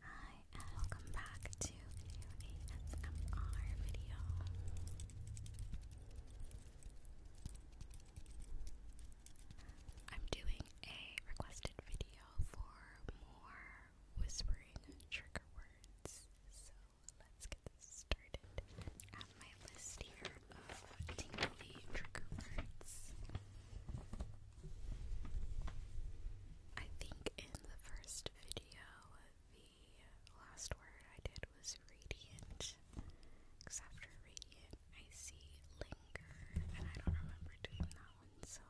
Hi, and welcome back to a ASMR video. I'm doing a requested video for more whispering trigger words, so let's get started. I have my list here of tingly trigger words. I think in the first video, the last word I did was radiant. after radiant, I see linger, and I don't remember doing that one, so.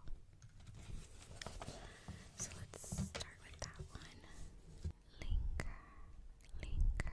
So let's start with that one. Linger, linger,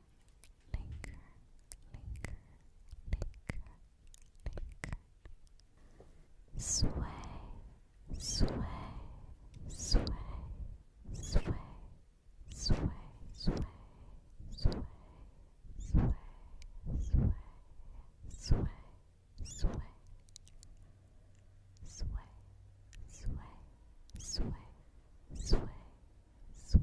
linger, linger, linger, linger. Sway, sway, sway, sway, sway, sway, sway, sway, sway, sway, sway. Sway, sway, sway, sway, sway,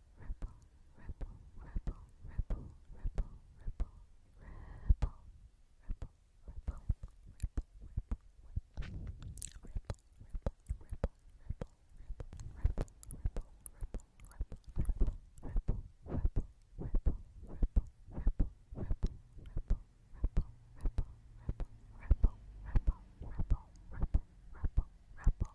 ripple, ripple, ripple, ripple, ripple, ripple, ripple, ripple, ripple, ripple, ripple, ripple. Ripple, ripple, ripple, ripple,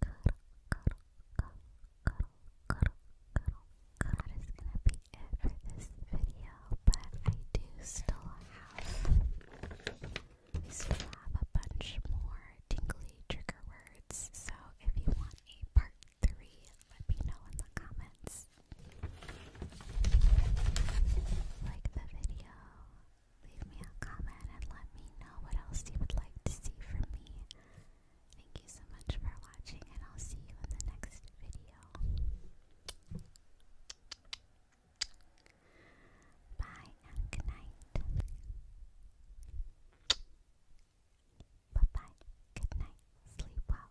cuddle, cuddle, cuddle, cuddle, cuddle, cuddle. That is gonna be it for this video, but I do still have, we still have a bunch more tingly trigger words, so if you want a part three, let me know in the comments. Like the video, leave me a comment, and let me know what else you would like to see from me. Thank you so much for watching, and I'll see you in the next video. Bye and good night. Bye bye, good night, sleep well.